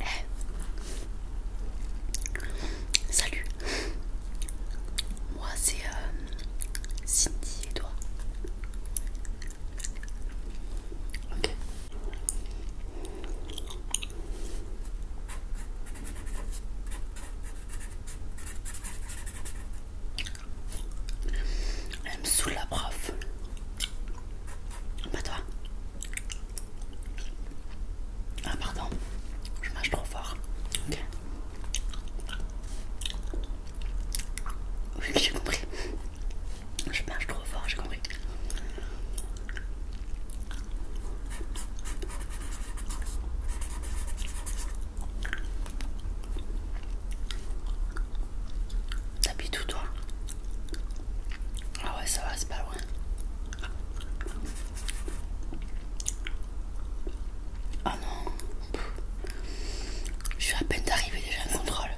Eh. Salut, moi c'est euh, Cindy et toi. Elle me saoule la prof. Ah, pas toi. Ah pardon, je mâche trop fort. Ok. Oui, j'ai compris. Je marche trop fort, j'ai compris. T'habites tout toi Ah ouais ça va, c'est pas loin. Ah non Je suis à peine arrivée, déjà en contrôle.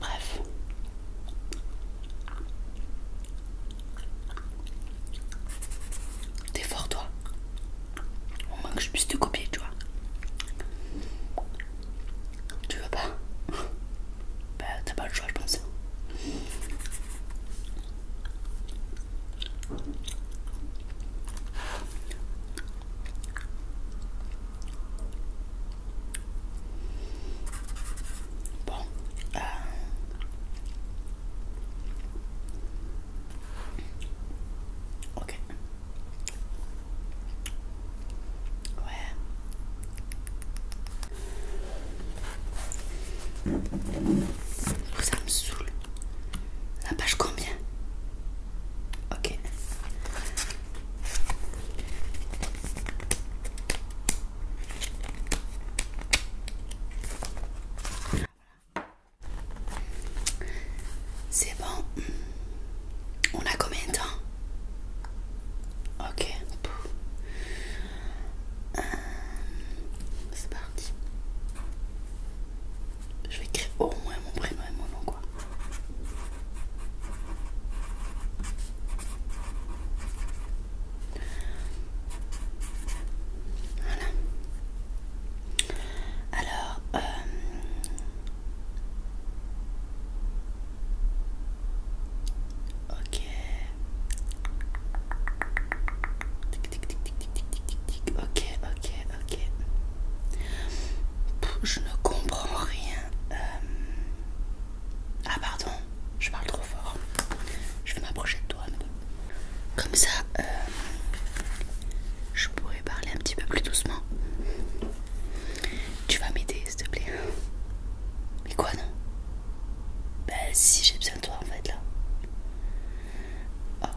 Bref. T'es fort toi. Au moins que je puisse te copier, tu vois. Tu veux pas Bah t'as pas le choix je pense. Hein. Bon. Euh... Ok. Ouais. Ça me saoule. La page combien Ok. C'est bon. On a combien de temps Ok. Euh, c'est parti. Je vais écrire au moins mon prénom et mon nom quoi. Voilà. Alors, euh... ok. Tic, tic, tic, tic, tic, tic, tic, tic. Ok, ok, ok. je ne comprends rien. Euh, ah pardon, je parle trop fort. Je vais m'approcher de toi. peu. Comme ça, euh, je pourrais parler un petit peu plus doucement. Tu vas m'aider s'il te plaît. Mais quoi non bah, si j'ai besoin de toi en fait là. Oh,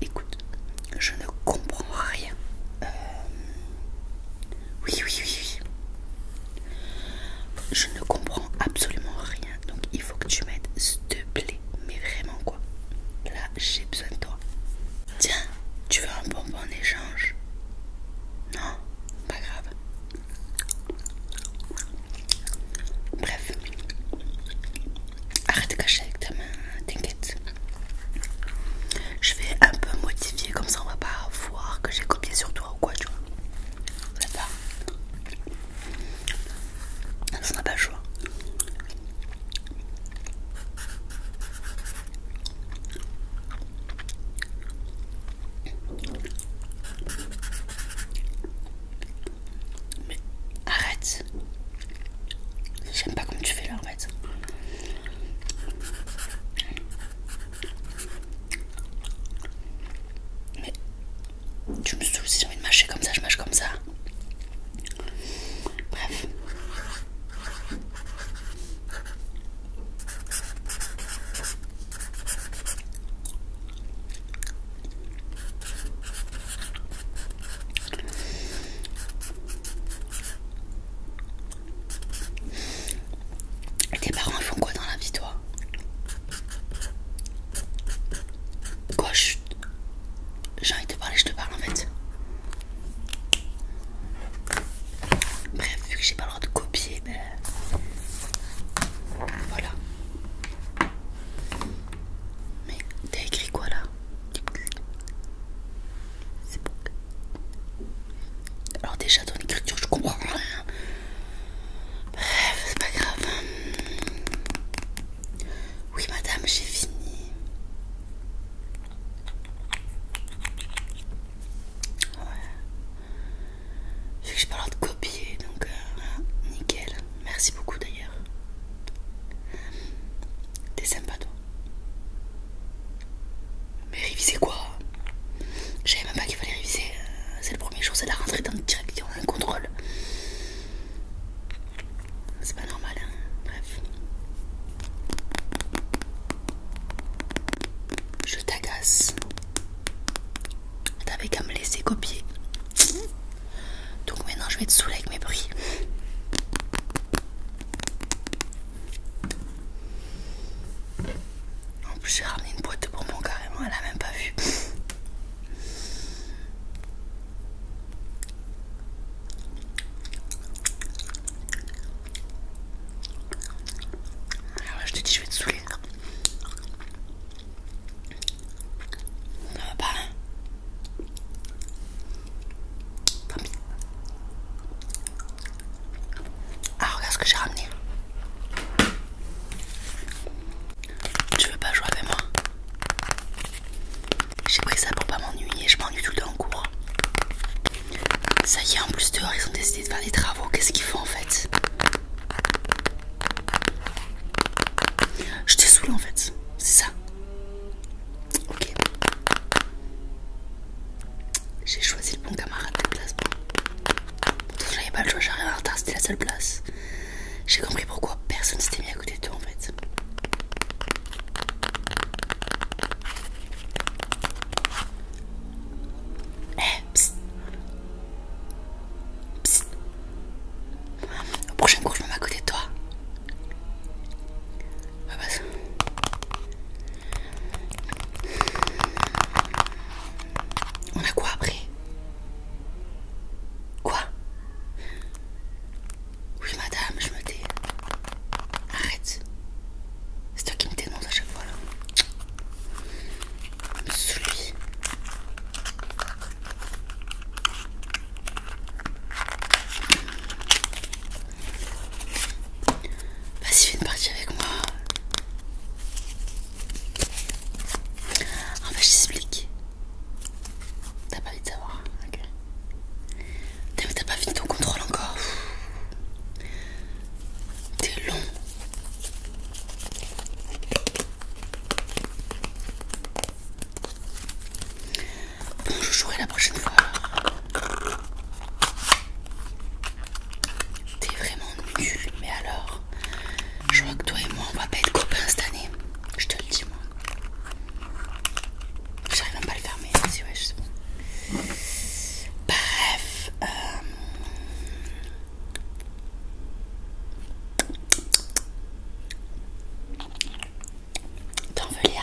écoute, je ne comprends rien. Euh, oui, oui, oui, oui. Je ne comprends absolument rien. Donc il faut que tu m'aides, s'il te plaît. Mais vraiment quoi. Là, j'ai besoin de toi. Tiens, tu veux un bonbon en échange Non, pas grave. Bref. Arrête de cacher avec ta main, t'inquiète. Je vais un peu modifier comme ça on va pas voir que j'ai copié sur toi ou quoi tu vois. Ça va. Ça n'a pas le choix. Mais arrête J'aime pas comme tu fais là. Mais tu me saoules si j'ai envie de mâcher comme ça, je mâche comme ça. Bref. Tes parents font quoi dans la vie, toi Quoi J'ai envie de te parler, je te parle en fait. Bref, vu que j'ai pas le droit de copier, ben. Voilà. Mais t'as écrit quoi là c'est bon. Alors déjà ton écriture je comprends rien. Bref, c'est pas grave. Oui madame, j'ai fini. Ouais. Vu que j'ai pas l'heure de copier, donc euh, nickel. Merci beaucoup d'ailleurs. T'es sympa toi. Mais réviser quoi J'avais savais même pas qu'il fallait réviser. C'est le premier jour, c'est la rentrée dans le a un contrôle. C'est pas normal, hein bref. Je t'agace. T'avais qu'à me laisser copier. Donc maintenant je vais te saouler avec mes bruits. En plus j'ai ramené une boîte de mon carrément, elle a même pas vu. Alors là, je te dis, je vais te saouler. Ça va pas, hein Tant ah, regarde ce que j'ai ramené. Tu veux pas jouer avec moi J'ai pris ça pour pas m'ennuyer, je m'ennuie tout le temps en cours. Ça y est, en plus dehors, ils ont décidé de faire des travaux. Qu'est-ce qu'ils font en fait Je te saoule en fait, c'est ça Ok. J'ai choisi le bon camarade de place. Pourtant, j'avais pas le choix, j'arrivais en retard, c'était la seule place. J'ai compris pourquoi personne s'était mis à côté de toi en fait. Eh psst. Psst. Au prochain cours je me mets à côté de toi. On a quoi après Quoi Oui madame, je me tais. Arrête. C'est toi qui me dénonce à chaque fois là. Celui. Vas-y, bah, fais une partie avec moi. En ah, fait, bah, je t'explique. T'as pas envie de savoir. t'as pas fini ton contrôle encore. T'es long. Bon, je jouerai la prochaine fois. T'es vraiment nul, mais alors, je vois que toi et moi on va pas être copains cette année. Je te le dis, moi. J'arrive même pas à le fermer, si ouais, Bref, euh... T'en veux, Léa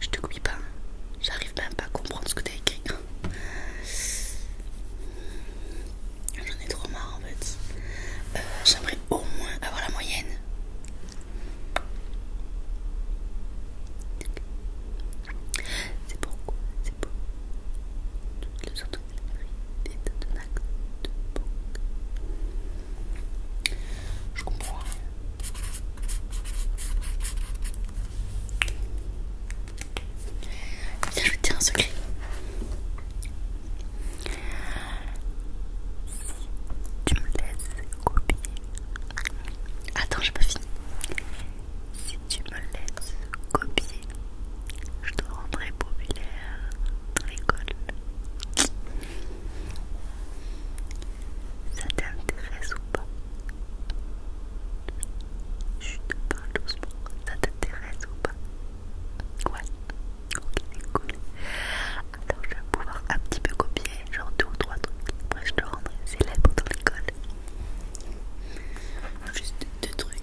Je te coupe pas, j'arrive même pas à comprendre ce que t'as écrit. J'en ai trop marre en fait. Euh, j'aimerais au moins avoir la moyenne. C'est pourquoi, c'est pour toutes les je comprends. Tiens, je vais te dire un secret. Si tu me laisses copier. Attends, j'ai pas fini. Si tu me laisses copier. Je te rendrai populaire dans l'école. Ça t'intéresse ou pas Je te parle doucement. Ça t'intéresse ou pas Ouais. Ok, cool. Alors je vais pouvoir un petit peu copier, genre deux ou trois trucs. Après je te rendrai célèbre dans l'école. Juste deux trucs.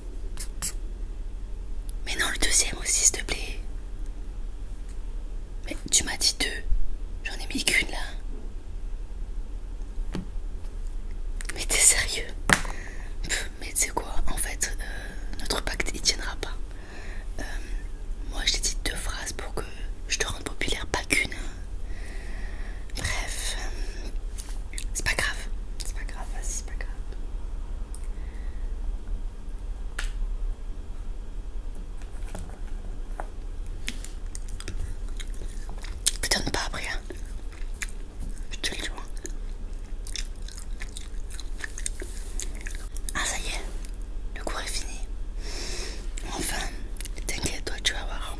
Mais non, le deuxième aussi, s'il te plaît. Mais tu m'as dit deux. J'en ai mis qu'une là. Mais t'es sérieux Mais tu sais quoi En fait, euh, notre pacte il tiendra pas. Euh, moi je t'ai dit deux phrases pour que je te rende populaire, pas qu'une. Hein. Bref, c'est pas grave. C'est pas grave, vas-y c'est pas pas après, hein. je Ah ça y est, le cours est fini. Enfin, t'inquiète, toi tu vas voir.